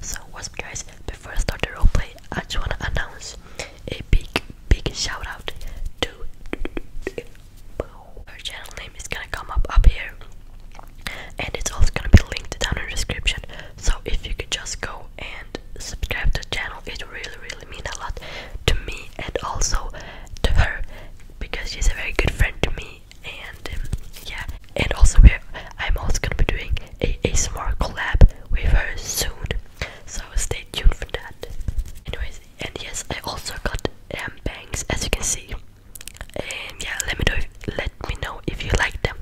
So, what's up, guys? Before I start the roleplay, I just wanna announce a big, big shout out to her channel name is gonna come up up here, and it's also gonna be linked down in the description. So, if you could just go and subscribe to the channel, it really, really means a lot to me and also to her because she's a very good friend to me and um, yeah and also I'm also gonna be doing a, a smart collab with her soon so stay tuned for that anyways and yes I also got um, bangs as you can see and yeah let me know if, let me know if you like them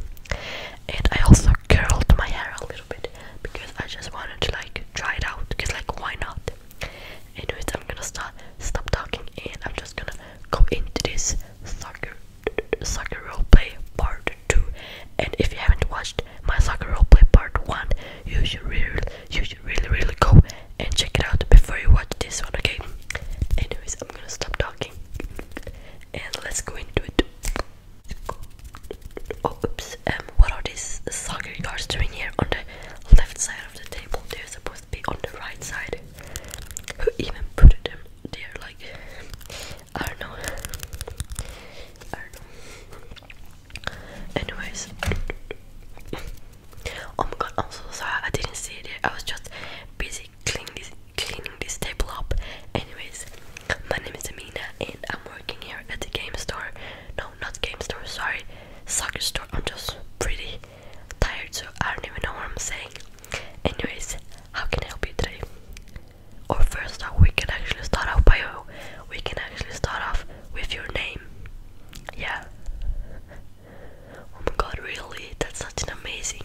and I also curled my hair a little bit because I just wanted to like try it out because like why not anyways I'm gonna start stop talking and I'm just gonna go into this soccer soccer play part 2 and if you haven't watched my soccer play part 1 you should really you should really really go and check it out before you watch this one again. anyways i'm gonna stop talking and let's go into it oops um what are these soccer cards doing here on the left side of the table they're supposed to be on the right side who even put it there? Like, I don't know. I don't know. Anyways, oh my god, I'm so sorry. I didn't see it. I was just busy cleaning this table up. Anyways, my name is Amina, and I'm working here at the game store. No, not game store. Sorry, soccer store. I'm just pretty tired, so I don't even know what I'm saying. Anyways, how can I help you today? Or first we can actually start off by we can actually start off with your name. Yeah. Oh my god, really? That's such an amazing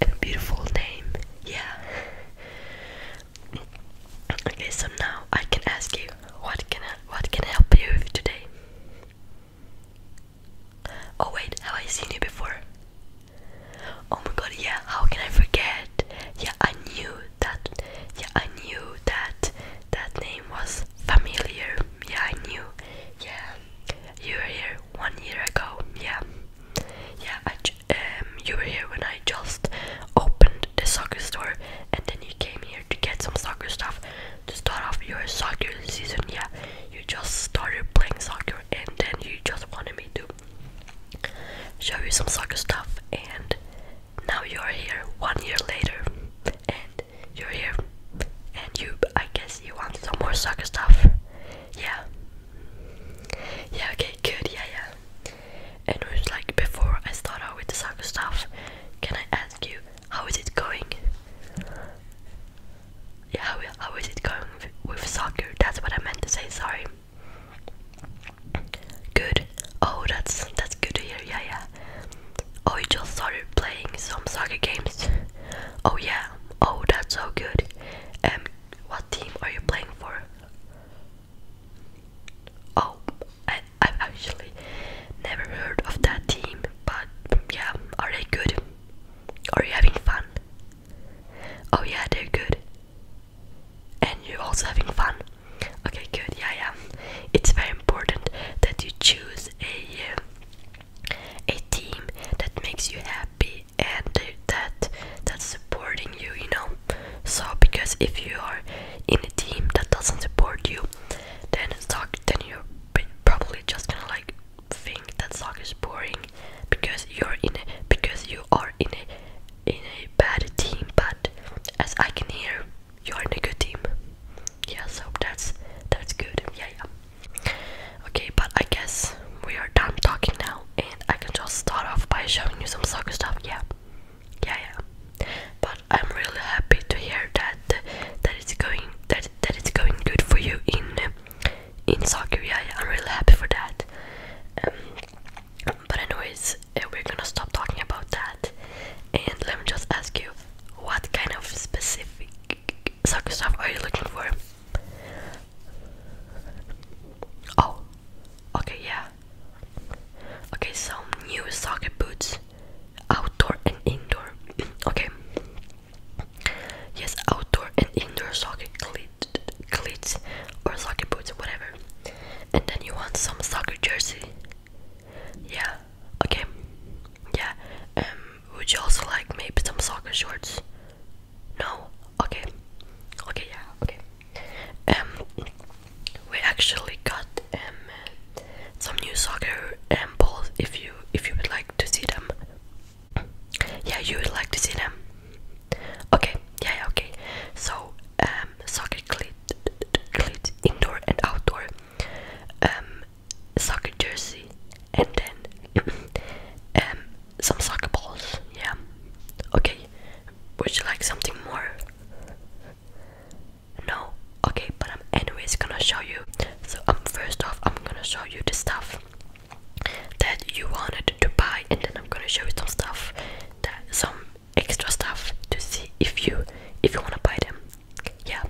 and beautiful name. Yeah. Okay, so now I can ask you what can I, what can I help you with today? Oh wait, have I seen you before? Oh my god, yeah, how can I forget? Yeah, I knew that yeah, I knew that that name was familiar. Yeah, I knew. Yeah. You were here one year ago. Yeah. Yeah, I um you were here when I just opened the soccer store and then you came here to get some soccer stuff to start off your soccer season. Yeah you just started playing soccer and then you just wanted me to show you some soccer stuff and now you're here one year later and you're here and you I guess you want some more soccer stuff yeah yeah okay good yeah yeah and it was like before I start out with the soccer stuff can I ask you how is it going yeah, how is it going with, soccer? That's what I meant to say. Sorry. Good. Oh, that's that's good to hear. Yeah, yeah. Oh, you just started playing some soccer games. Oh yeah. Oh, that's so good. And um, what team are you playing for? Oh, I've actually never heard of that team, but yeah, are they good? Are you having fun? Oh yeah, they're good. And you're also having fun. Okay, good. Yeah, yeah. It's very important that you choose a uh, a team that makes you happy and that that's supporting you. You know. So because if you are in a team that doesn't support you, then it's then you're probably just gonna like think that soccer is boring because you're in a, because you are in a in a bad team but as I can hear you are in a good team yeah so that's that's good yeah yeah okay but I guess we are done talking now and I can just start off by showing you some soccer stuff yeah yeah yeah but I'm really happy to hear that that going that that it's going good for you in in South Korea. I'm really happy for that. Um, but anyways, uh, we're gonna stop talking about that. And let me just ask you, what kind of specific soccer stuff are you looking for? Oh, okay, yeah. Okay, some new soccer boots, outdoor and indoor. okay, Yes, outdoor and indoor soccer cleats or soccer boots, whatever. And then you want some soccer jersey. Yeah, okay. Yeah, um, would you also like maybe some soccer shorts? No? Okay. Okay, yeah, okay. Um, we actually got um some new soccer and um, balls if you if you would like to see them yeah, you would like to see them. Okay, yeah, okay. So, um, soccer cleat, cleat, indoor and outdoor, um, soccer jersey, and then um, some soccer balls. Yeah. Okay. Would you like something more? No. Okay, but I'm anyways gonna show you. So, um, first off, I'm gonna show you the stuff that you wanted to buy and then I'm gonna show you some stuff that some extra stuff to see if you if you wanna buy them. Yeah.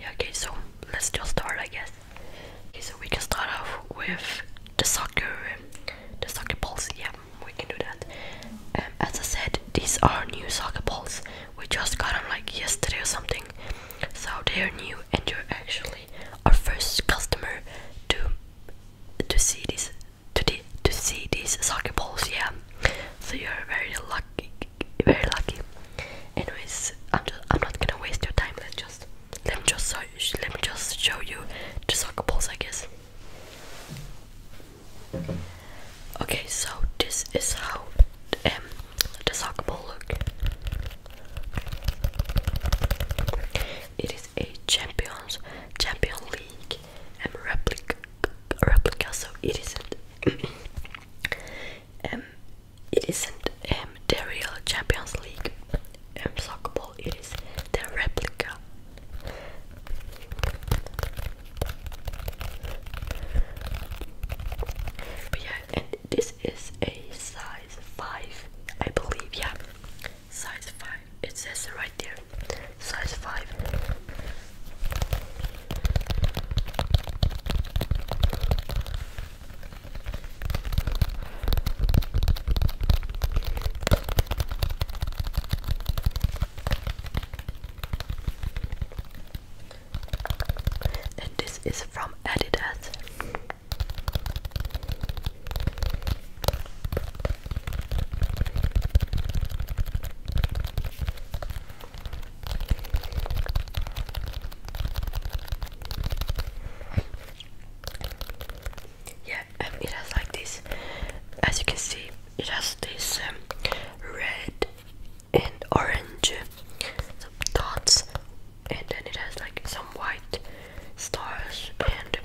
Yeah okay so let's just start I guess. Okay so we can start off with the soccer the soccer balls, yeah we can do that. Um, as I said these are new soccer balls. We just got them like yesterday or something. So they are new and you're actually our first customer to to see these to the, to see these soccer balls. Yeah, so you're very lucky, very lucky. Anyways, I'm just, I'm not gonna waste your time. let just let me just let me just show you the soccer balls, I guess. Okay, so this is how um, the soccer ball look. It is a Champions Champion League and replica so it isn't um it isn't um, the real Champions League um soccer ball, it is the replica. But yeah, and this is a size 5, I believe, yeah. Size 5. It says right there. Size 5. And this is from Adidas. Yeah, um, it has like this. As you can see, it has this um, red and orange dots and then it has like some white stars and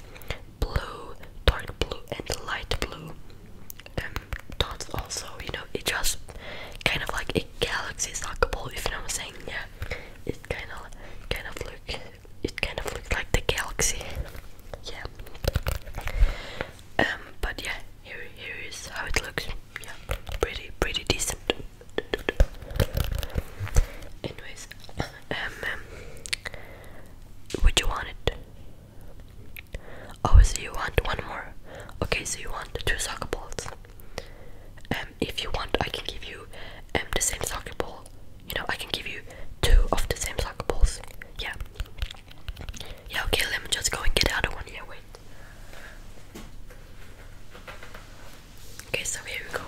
blue, dark blue and light blue um, dots also, you know, it just kind of like a galaxy soccer ball, if you know what I'm saying, yeah, it kind of, kind of look, it kind of looks like the galaxy, yeah, um, but yeah, here, here is how it looks, yeah, pretty, pretty decent. Anyways, um, um, would you want it? Oh, so you want one more? Okay, so you want two soccer balls. Um, if you want, I can give you um the same soccer ball. You know, I can give you two of the same soccer balls. Yeah. Yeah. Okay, let me just go and get the other one. Yeah, wait. Okay, so here we go.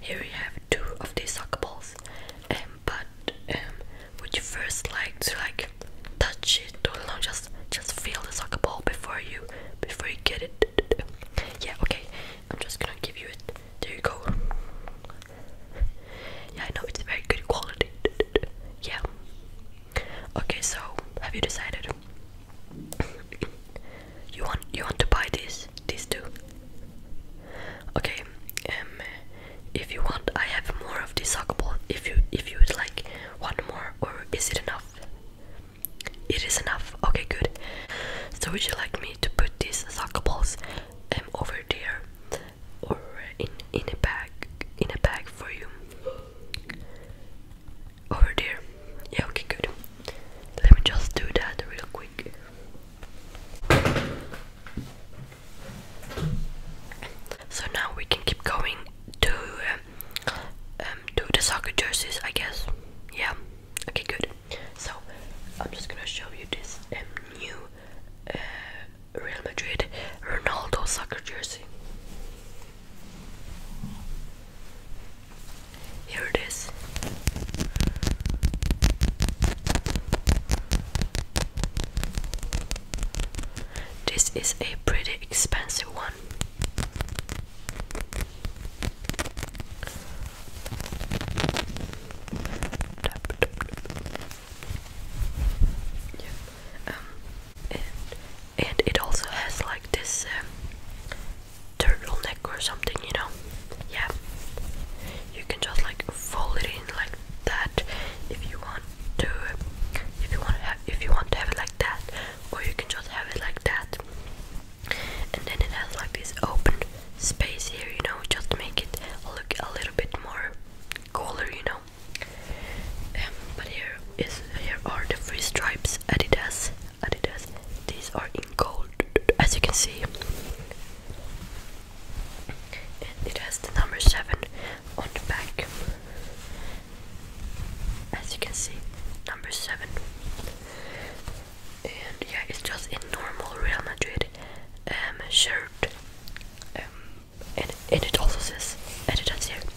Here we have two of these soccer balls, um, but um, would you first like to like touch it or no, just just feel the soccer ball before you before you get it? Yeah, okay. I'm just gonna give you it. There you go. Yeah, I know it's very good quality. Yeah, Okay, so have you decided? you want you want to buy these these two? Okay, um, if you want, I have more of this soccer ball. If you if you would like one more, or is it enough? It is enough. Okay, good. So would you like me to put these soccer balls um, over there, or in in a bag in a bag for you? over oh, there. Yeah, okay, good. Let me just do that real quick. So now we can keep going to um, um, do the soccer jerseys, I guess. Yeah. Okay, good. So I'm just gonna show you this um, new uh, Real Madrid Ronaldo soccer jersey. Here it is. This is a pretty expensive one. Um, and, it also has like this uh, turtleneck or something, you know? Yeah. You can just like fold it in like that if you want to if you want to have if you want to have it like that or you can just have it like that. And then it has like this open space here, you know, just to make it look a little bit more cooler, you know. Um, but here is here are the three stripes Adidas Adidas. These are in gold, as you can see. And it has the number 7 on the back. As you can see, number 7. And yeah, it's just a normal Real Madrid um, shirt. Um, and, and it also says Adidas here.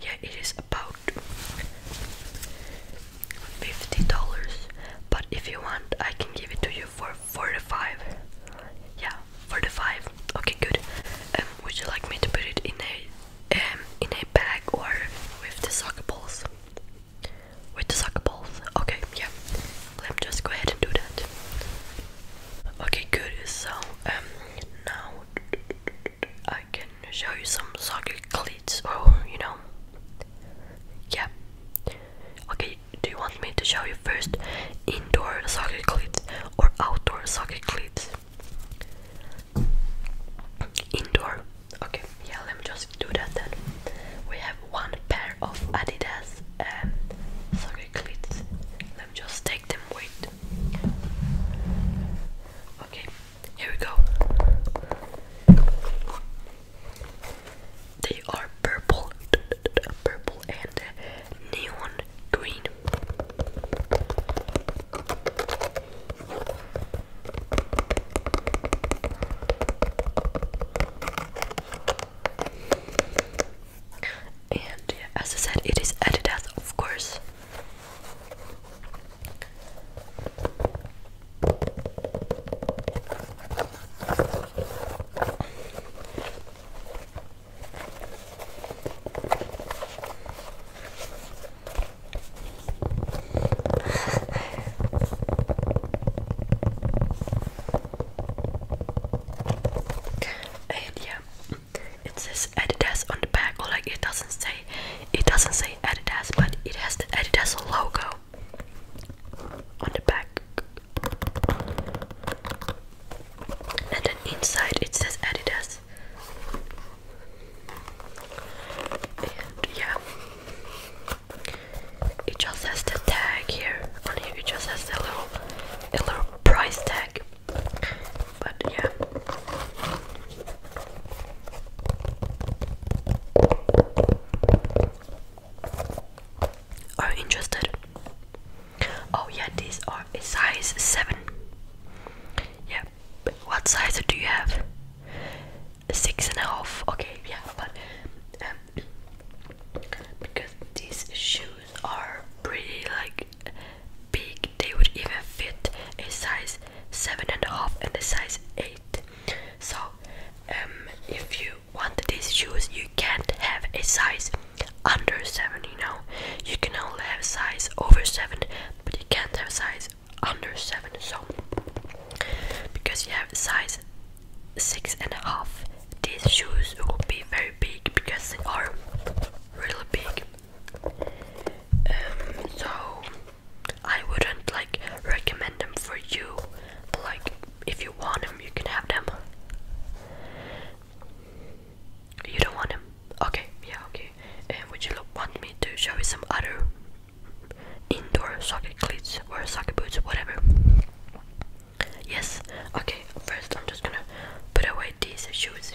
yeah it is about fifty dollars but if you want I can give it to you for forty five yeah forty five okay good um, would you like me to put it in a um, in a bag or with the soccer balls with the soccer balls okay yeah let me just go ahead and do that okay good so um now I can show you some soccer cleats. or oh, you know. Yeah. Okay, do you want me to show you first indoor soccer cleats or outdoor soccer cleats? Indoor. Okay, yeah, let me just do that then. We have one pair of Adidas um, soccer cleats. Let me just take them with Okay, here we go. They are purple, purple and neon green. And as I said, it is Adidas, of course and yeah, it says Adidas on the back, or like it doesn't say it doesn't say Adidas, but it has the Adidas logo on the back. And then inside it says Adidas. And yeah. It just has the tag here. On here it just has the little a little price tag. But yeah. Are interested? Oh yeah, these are a size seven. Yeah. what size do you have? Six and a half. Okay, yeah, but um, because these shoes are pretty like big they would even fit a size seven and a half and a size eight. So um if you want these shoes you can't have a size under seven, you know. You can only have size over seven, but you can't have size under seven, so because you have size six and a half, these shoes will be very big because they are really big. Um, so I wouldn't like recommend them for you. like, if you want them, you can have them. You don't want them? Okay, yeah, okay. And would you want me to show you some other indoor soccer cleats or soccer boots, whatever? Yes. Okay. First, I'm just gonna put away these shoes.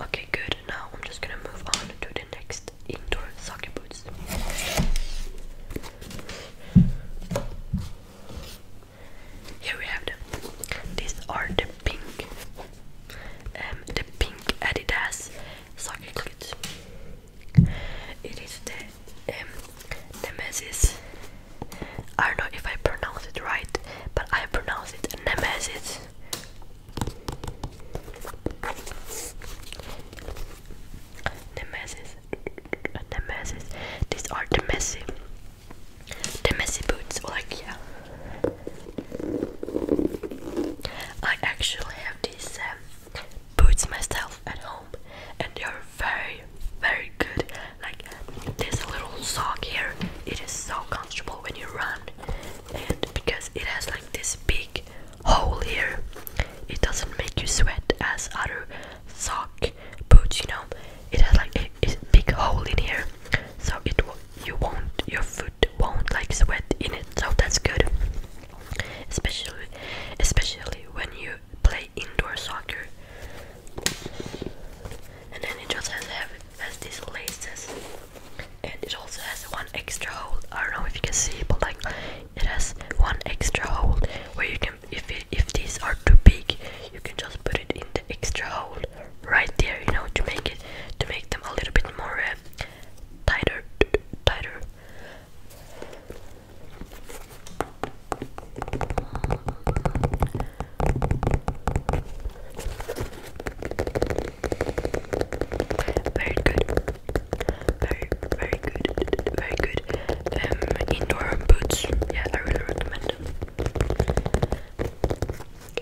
Okay, good. Now I'm just gonna move on to the next indoor soccer boots. Here we have them. These are the pink, um, the pink Adidas soccer cleats. It is the um, Nemesis. I don't know if I pronounce it right, but I pronounce it Nemesis this. Nemesis, Nemesis. These are the messy, the messy boots. Like yeah, I actually have these um, boots myself at home, and they are very, very good. Like there's a little sock here, it is so comfortable when you run and because it has like this big hole here it doesn't make you sweat as other sock boots you know it has like a, big hole in here so it you won't your foot won't like sweat in it so that's good especially especially when you play indoor soccer and then it just has, have, has these laces and it also has one extra hole I don't know if you can see but like it has one extra hole where you can if if these are too big you can just put it in the extra hole right there you know to make it to make them a little bit more uh, tighter tighter very good. Very, very good. Very good. Um, indoor boots. Yeah, I really recommend them.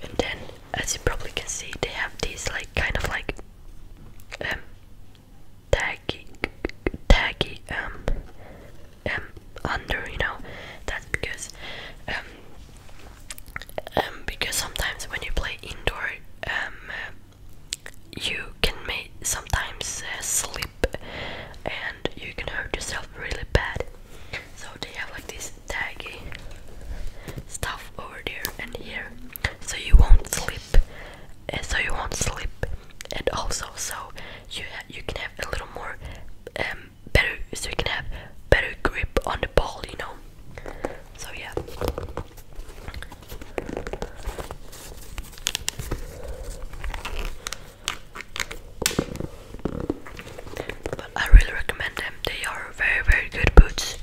And then, as you probably can see, they have these like kind of like um taggy, taggy um um under. You know, that's because um um, because sometimes when you play indoor, um, you can sometimes uh, slip and you can hurt yourself really bad. So they have like this taggy stuff over there and here, so you won't slip, uh, so you won't slip, and also so you you can have a little more um, better so you can have better grip on the ball, you know. So yeah. But I really recommend them. They are very very good boots.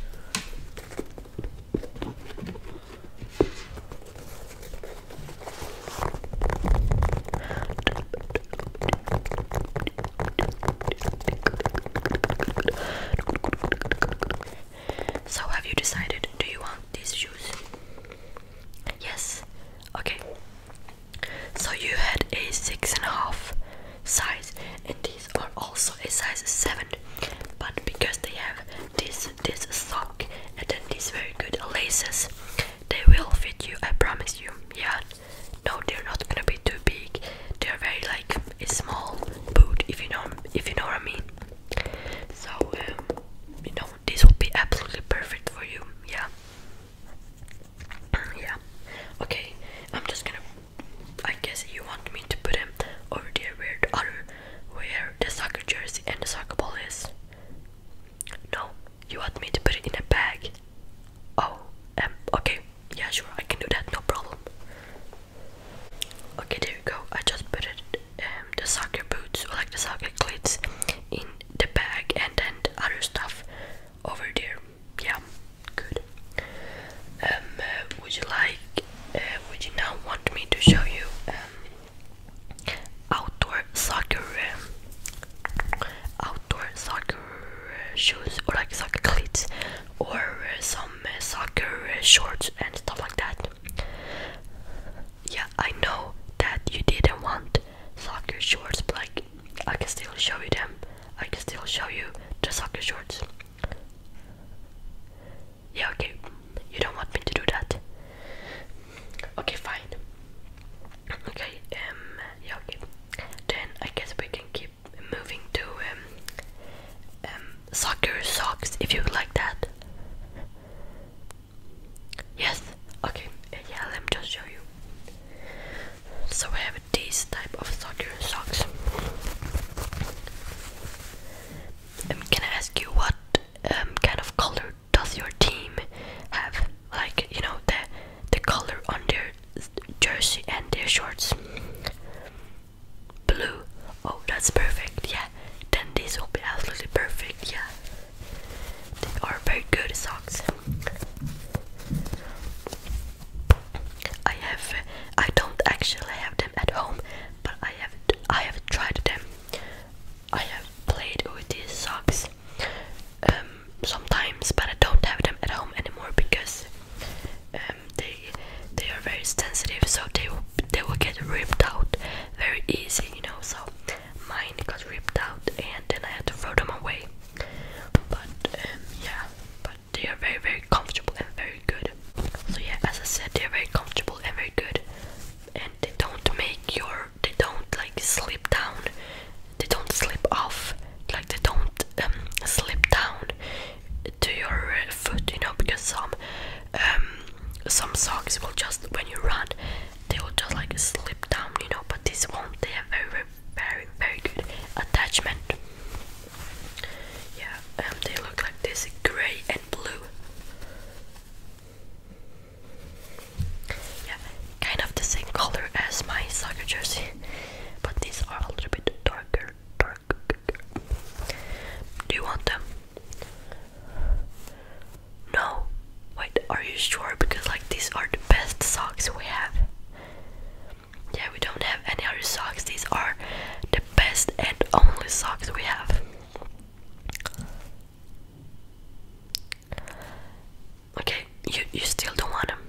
So, have you decided? Do you want these shoes? Yes. Okay. So you had a six and a half size, and these are also a size seven, but because they have this this sock and then these very good laces, they will fit you. I promise you. Yeah no they're not gonna be too big they're very like a small boot if you know if you know what I mean so um, you know this will be absolutely perfect for you yeah yeah okay I'm just gonna I guess you want me to put them over there where other where the soccer jersey and the soccer ball is no you want me to put it in a bag Oh, okay, yeah, sure, I can do that, no problem. Okay, there you go. I just put it, um, the soccer boots or like the soccer cleats in the bag, and then other stuff over there. Yeah, good. Um, uh, would you like? Uh, would you now want me to show you um, outdoor soccer, um, outdoor soccer shoes or like soccer cleats? or some soccer shorts and stuff like that. Yeah, I know that you didn't want soccer shorts, but like I can still show you them. I can still show you the soccer shorts. Yeah, okay. You don't want me to do that. Okay, fine. Okay, um, yeah, okay. Then I guess we can keep moving to um, um, soccer socks if you like that. Yes. Okay. Uh, yeah. Let me just show you. So we have this type of soccer socks. Um, can I ask you what um, kind of color does your team have? Like you know the the color on their jersey and their shorts. Blue. Oh, that's perfect. Yeah. Then these will be absolutely perfect. Yeah. They are very good socks. I have. I don't actually have them at home, but I have. I have tried them. I have played with these socks um, sometimes, but I don't have them at home anymore because uh, they they are very sensitive, so they they will get ripped out very easy, you know. So mine got ripped out, and then I had to throw them away. But um, yeah, but they are very very comfortable and very good. So yeah, as I said, they are very comfortable and very good, and they don't make your they don't like slip down, they don't slip off, like they don't um, slip down to your uh, foot, you know, because some um, some socks will just when you run, they will just like slip down, you know. But this one, they have very, very, very, very good attachment. Yeah, um, they look like this, gray and blue. Yeah, kind of the same color as my soccer jersey, but these are a little bit darker. Do you want them? No. Wait, are you sure? Because like these are the best socks we have. Yeah, we don't have any other socks. These are the best and only socks we have. Okay, you you still don't want them.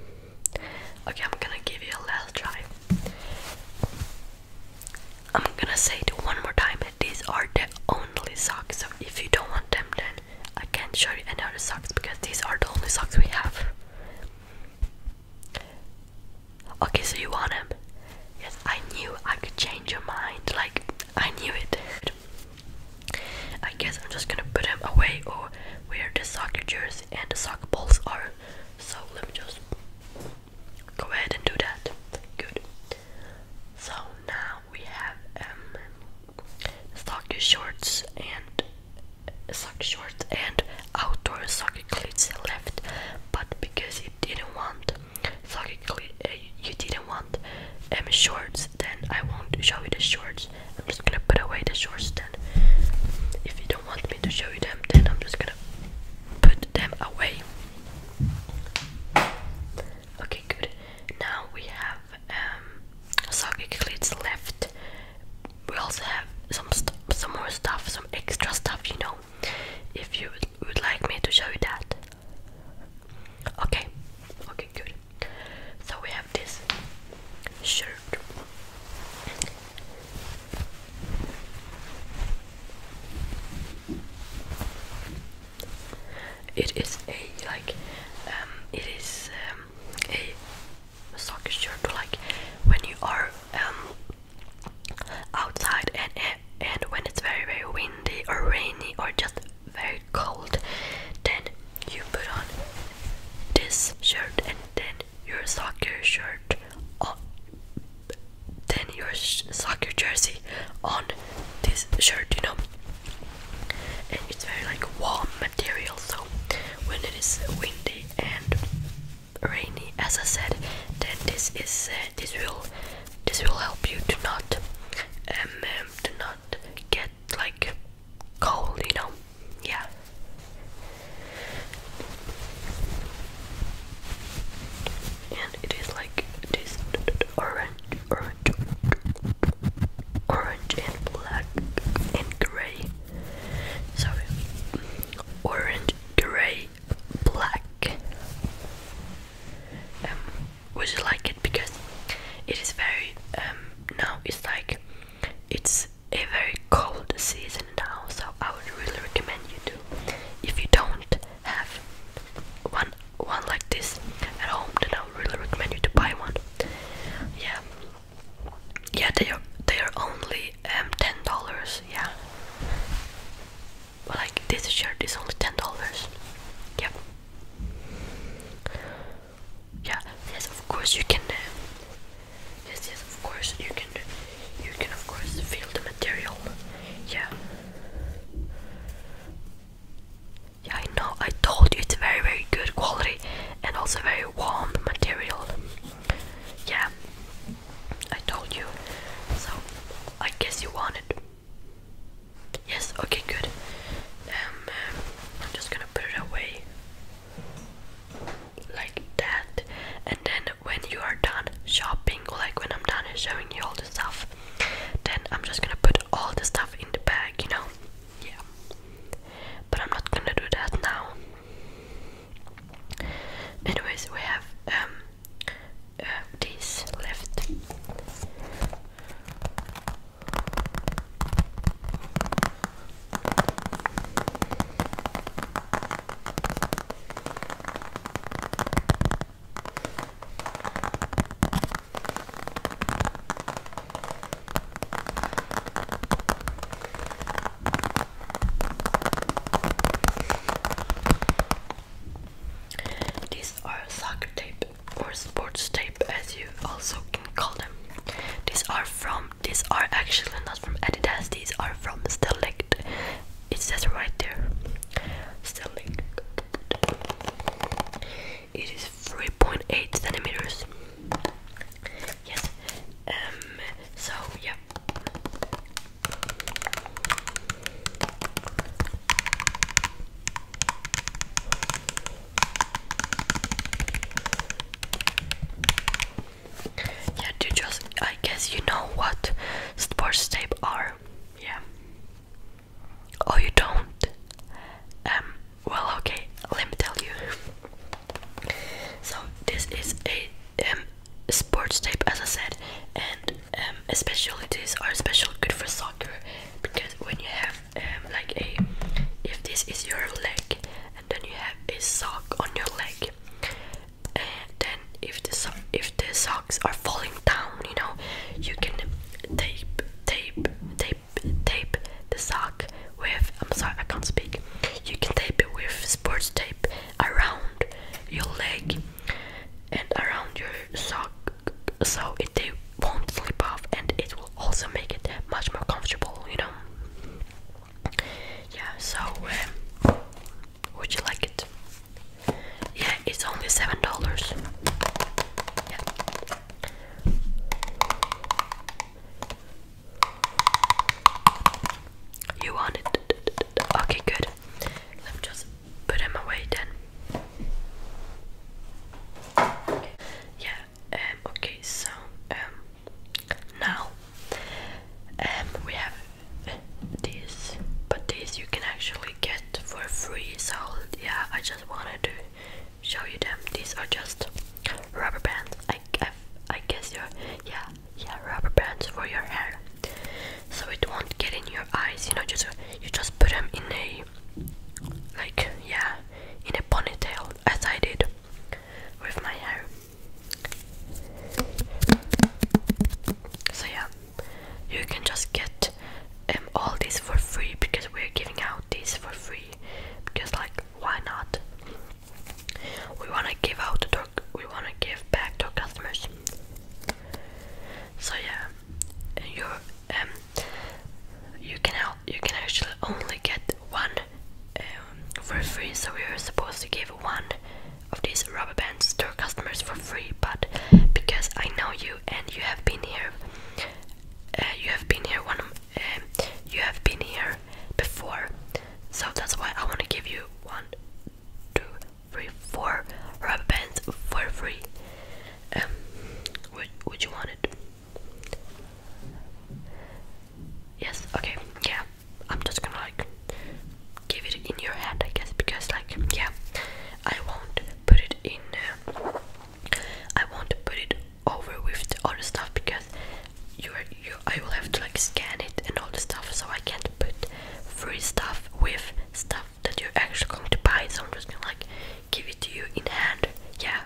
Okay, I'm gonna give you a last try. I'm gonna say it one more time. These are the only socks, so if you don't want them, then I can't show you any other socks because these are the only socks we have. Okay, so you want them? Yes, I knew I could change your mind. Like, I knew it. I guess I'm just gonna put them away or where the soccer jerseys and the soccer balls are so let me just go ahead and do that. Good. So now we have um soccer shorts and sock shorts and outdoor soccer cleats left, but because you didn't want soccer cleats, uh, you didn't want um shorts, then I won't show you the shorts. I'm just gonna put away the shorts then. If you don't do want me to show you them, then I'm just gonna put them away. Okay, good. Now we have um, socket left. We also have some some more stuff, some extra stuff, you know. If you would like me to show you that. Okay. Okay, good. So we have this. Sure. It is a like um it is um, a soccer shirt to like when you are um outside and and when it's very very windy or rainy or just very cold then you put on this shirt and then your soccer shirt on, then your soccer jersey on this shirt, you know. And it's very like warm material, so when it is windy and rainy, as I said, then this is uh, this will this will help you to not um, um to not get like cold, you know. Yeah and it is like this orange, orange, orange and black and gray. Sorry, orange, gray, black. Um, would you like it because it is very um now it's like it's a very cold season now, so I would really recommend you to. If you don't have one one like this at home, then I would really recommend you to buy one. Yeah, yeah, they are they are only um ten dollars. Yeah, but like this shirt is only ten dollars. Yep. Yeah. yes, of course you can. Uh, Yes, yes, of course you can. You can of course feel the material. Yeah. Yeah, I know. I told you it's very, very good quality and also very warm material. Yeah, I told you. So I guess you want it. Yes. Okay. Good. Um, um I'm just gonna put it away like that, and then when you are done shopping, like when I'm done showing you all the stuff, then I'm just gonna put all the stuff in the bag, you know? Yeah. But I'm not gonna do that now. Anyways, we have um uh, these left. These are soccer tape or sports tape as you also can call them. These are from these are actually not from Adidas, these are from Select it says right there it's it is 3.8 centimeters yes um so yeah yeah, you just I guess you know what sports tape are. Yeah. Oh you don't? Um well okay, let me tell you. So this is a um sports tape as I said and um especially these are special good for soccer because when you have um like a if this is your leg and then you have a sock on your leg and then if the if the socks are falling down, you know, you can tape tape tape tape the sock with I'm sorry I can't speak. You can tape it with sports tape around your leg and around your sock so it won't slip off and it will also make it much more comfortable, you know. Yeah, so um, would you like it? Yeah, it's only seven dollars. You want it? Okay, good. Let me just put them away then. Yeah. Um. Okay. So. Um. Now um, we have this, but this you can actually get for free. So yeah, I just wanted to show you them. These are just rubber bands. I I, I guess your yeah yeah rubber bands for your hair, so it won't get in your eyes. You know, just you just put them in a like yeah in a ponytail as I did with my hair. So yeah, you can just get um, all this for free because we're giving out this for free because like why not? We wanna give out the dog. We wanna give back to our customers. So yeah, and you um you can help. You can actually only get one um, for free. So we are supposed to give one of these rubber bands to our customers for free, but because I know you and you have been here, uh, you have been here one, um, you have been here before, so that's why I want to give you one, two, three, four rubber bands for free. Um, would would you want it? Yes. Okay. Yeah. I'm just gonna like give it in your hand, I guess, because like yeah, I won't put it in. Uh, I won't put it over with the other stuff because you are you I will have to like scan it and all the stuff, so I can't put free stuff with stuff that you're actually going to buy. So I'm just gonna like give it to you in hand. Yeah,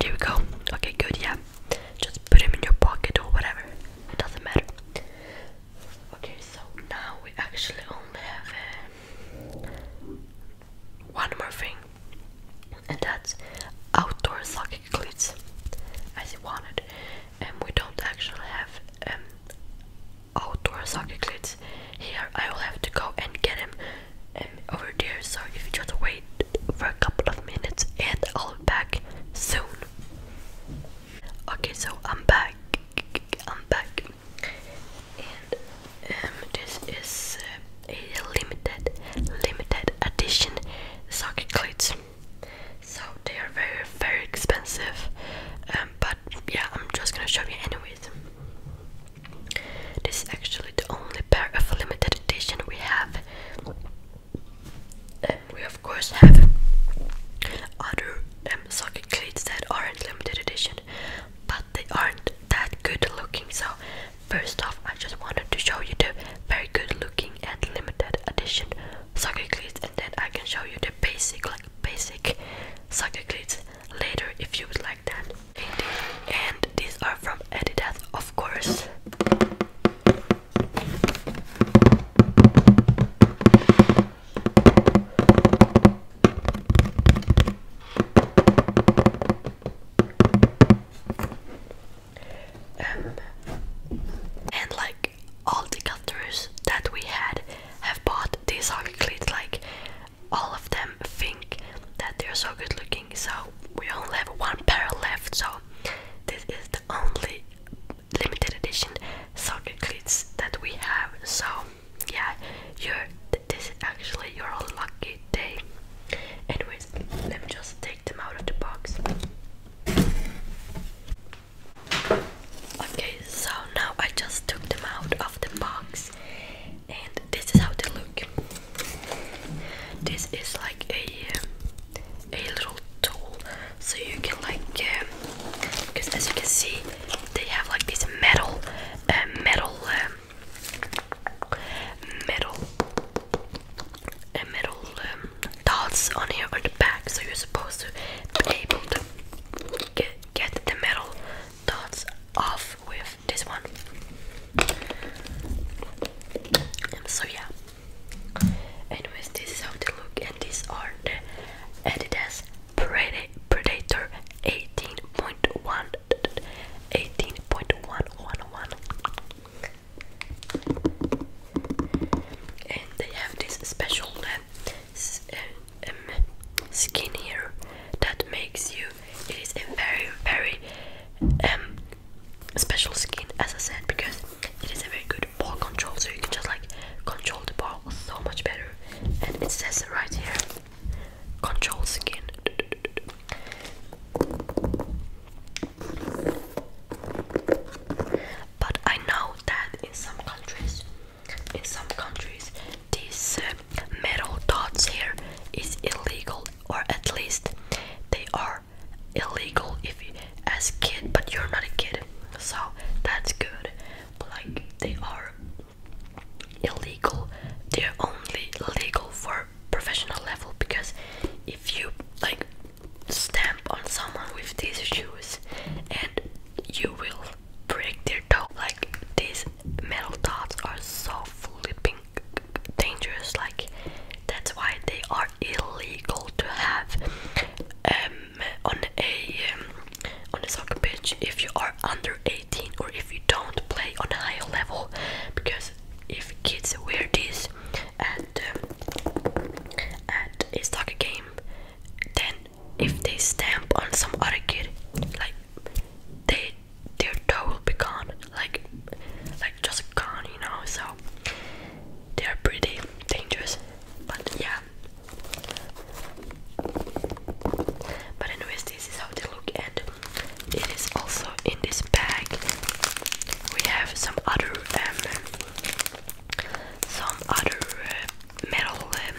there we go. Okay, good. Yeah, just put them in your pocket or whatever. It doesn't matter. Okay, so now we actually only have uh, one more thing, and that's outdoor soccer cleats, as you wanted. And we don't actually have um, outdoor soccer cleats here. I will have to go and get them um, over there. So if you just wait for a couple of minutes, and I'll be back soon. Okay, so I'm back. I'm back, and um, this is uh, a limited, limited edition socket cleats. So they are very, very expensive. Um, but yeah, I'm just gonna show you anyways. This is actually the only pair of limited edition we have. Uh, we of course have other um, socket cleats that aren't limited edition, but they aren't that good looking. So, first off, I just wanted to show you the very good looking and limited edition socket cleats, and then I can show you the basic, like basic socket cleats later if you would like that. And these are from Adidas, of course. Um, and like all the cutters that we had have bought these Arcleats, like all of them think that they're so good looking, so we only have one pair left, so this is the only limited edition soccer cleats that we have. So yeah, you this is actually your lucky day. Anyways, let me just take them out of the box. Okay, so now I just took them out of the box, and this is how they look. This is like a a little tool so you can like because um, as you can see they have like this metal uh, metal um, metal uh, metal um, dots on here on the back so you're supposed to be able to get, get the metal dots off with this one um, so yeah anyways this is how they look and these are the and it Predator 18.1 and they have this special uh, um, um, skin here that makes you it is a very very um, special skin as I said because it is a very good ball control so you can just like control the ball so much better and it says right here control skin but I know that in some countries in some countries these uh, metal dots here is illegal or at least they are illegal if you as kid but you're not a kid so that's good like they are illegal. They're only legal for professional level because if you like stamp on someone with these shoes and you will break their toe. Like these metal dots are so flipping dangerous. Like that's why they are illegal to have. Um, on a um, on a soccer pitch if you are under 18 or if you don't play on a higher level because if kids wear this at um, at a soccer game then if they stamp on some other kid like they their toe will be gone like like just gone you know so they're pretty dangerous but yeah but anyways, this is how they look and it is also in this bag. We have some other um, some other uh, metal um,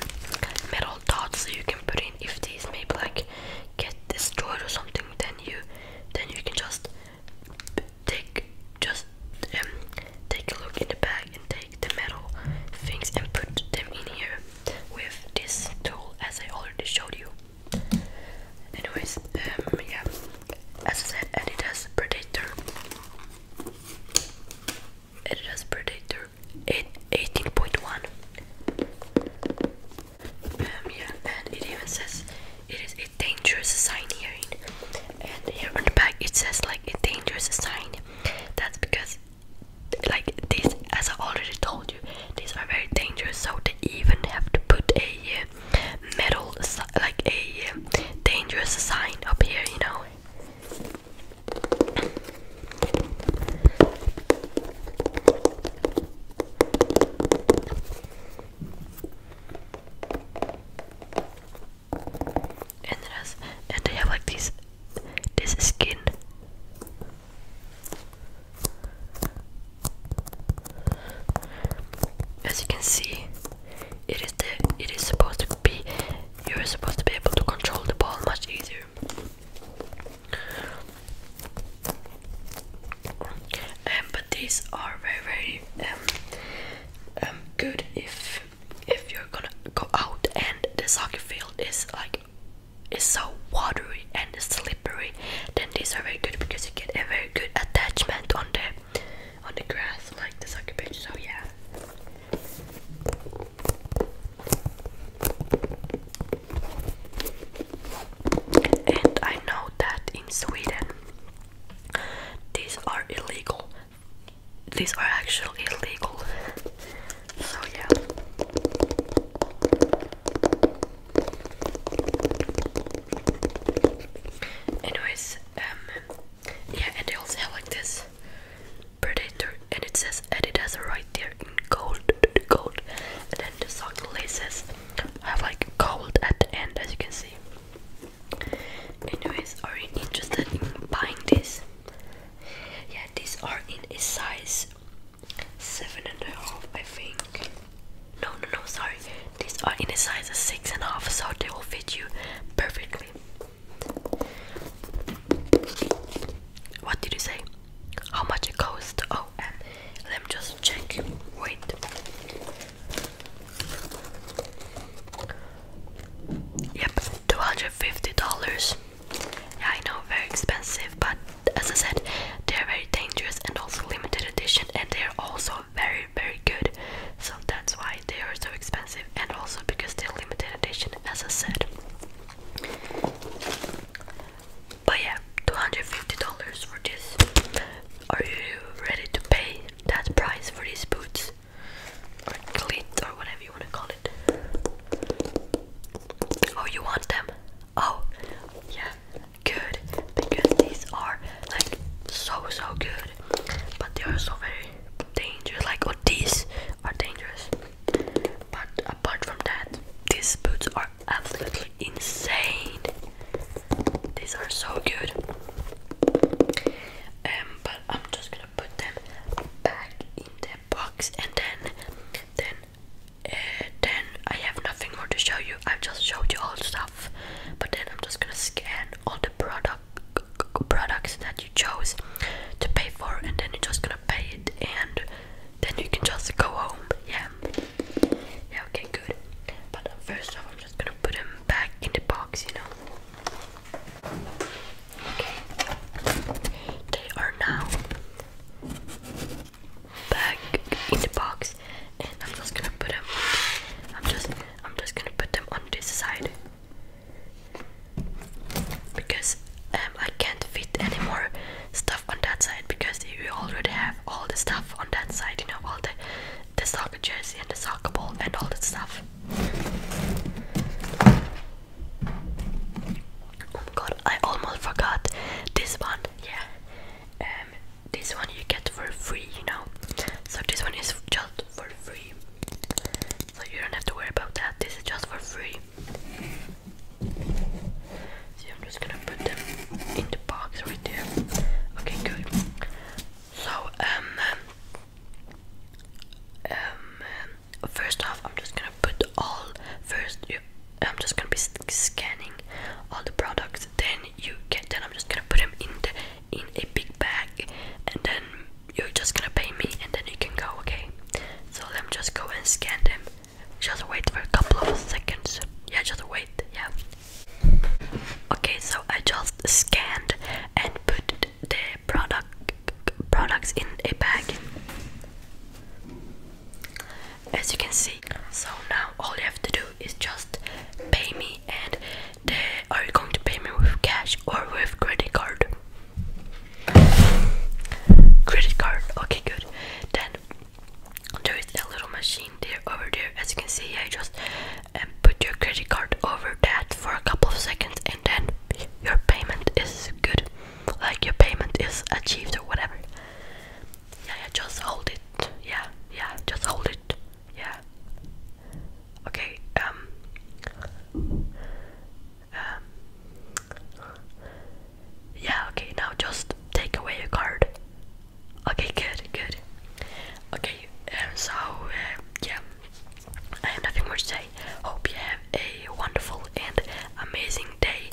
metal dots you can put in if these maybe like get destroyed or something then you then you can just take just um, take a look in the bag and take the metal things and put them in here with this tool as I already showed you. Anyways, um, yeah, as I said, and it has Predator. It has Predator 18.1. Um, yeah, and it even says it is a dangerous sign here. and here on the back it says like a dangerous sign. That's because like this, as I already told you these are very dangerous so they even have to put a uh, metal like a uh, dangerous sign up here you know and it has and they have like these this skin as you can see it is the it is supposed to be you're supposed to be able to control the ball much easier And um, but these are very very um, um, good if if you're gonna go out and the soccer field is like is so watery and slippery then these are very good because you get a very good attachment on the on the grass like the soccer pitch so yeah and I know that in Sweden these are illegal these are actually illegal. So yeah. Anyways, um yeah, and they also have like this predator and it says Adidas right there in gold gold and then the sock laces have like gold at the end as you can see. Anyways, are you interested in buying this? Yeah, these are in a size seven and a half, I think. No, no, no, sorry. These are in a size of six and a half, so they will fit you perfectly. What did you say? How much it cost? Oh, and let me just check. Wait. Yep, $250. I know, very expensive, but as I said, they're very dangerous and also limited edition, and they're also very, very good. So that's why they are so expensive, and also because they're limited edition, as I said. But yeah, $250 for this. Are you ready to pay that price for these boots? or clit or whatever you want to call it. Oh, you want them? Oh, yeah, good. Because these are like so so good, but they are so very dangerous. Like, oh, these are dangerous. But apart from that, these boots are absolutely insane. These are so good. Um, but I'm just gonna put them back in the box and then then uh, then I have nothing more to show you. I've just showed you all stuff. But then I'm just gonna scan all the product products that you chose to pay for and then you're just gonna pay it and then you can just go home. Yeah. Yeah, okay, good. But uh, first off I'm just gonna put them back in the box, you know. Okay, they are now back in the box, and I'm just gonna put them. I'm just, I'm just gonna put them on this side because um, I can't fit any more stuff on that side because we already have all the stuff on that side. You know, all the the soccer jersey and the soccer ball and all that stuff. Oh my god, I almost forgot this one. Yeah, um, this one you get for free, you know. So this one is just for free. So you don't have to worry about that. This is just for free. See, I'm just gonna put them in the box right there. Okay, good. So um, um, um first off i'm just gonna put all first i'm just gonna be scanning all the products then you get then i'm just gonna put them in the in a big bag and then you're just gonna pay me and then you can go okay so let me just go and scan them just wait for a couple of seconds yeah just wait yeah okay so i just scanned and put the product products in a bag. As you can see. So now all you have to do is just pay me and they are you going to pay me with cash or with credit card? Credit card, okay good. Then there is a little machine there over there. As you can see, I just um, put your credit card over that for a couple of seconds then your payment is good like your payment is achieved or whatever yeah yeah just hold it yeah yeah just hold it yeah okay um um yeah okay now just take away your card okay good good okay And um, so uh, yeah I have nothing more to say hope you have a wonderful and amazing day,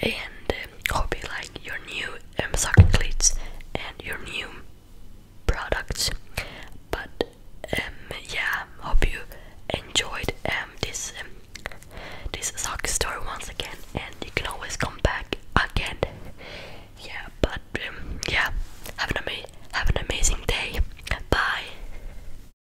and um, hope you like your new um, cleats and your new products. But um, yeah, hope you enjoyed um, this um, this soccer story once again, and you can always come back again. Yeah, but um, yeah, have an amazing day. Bye.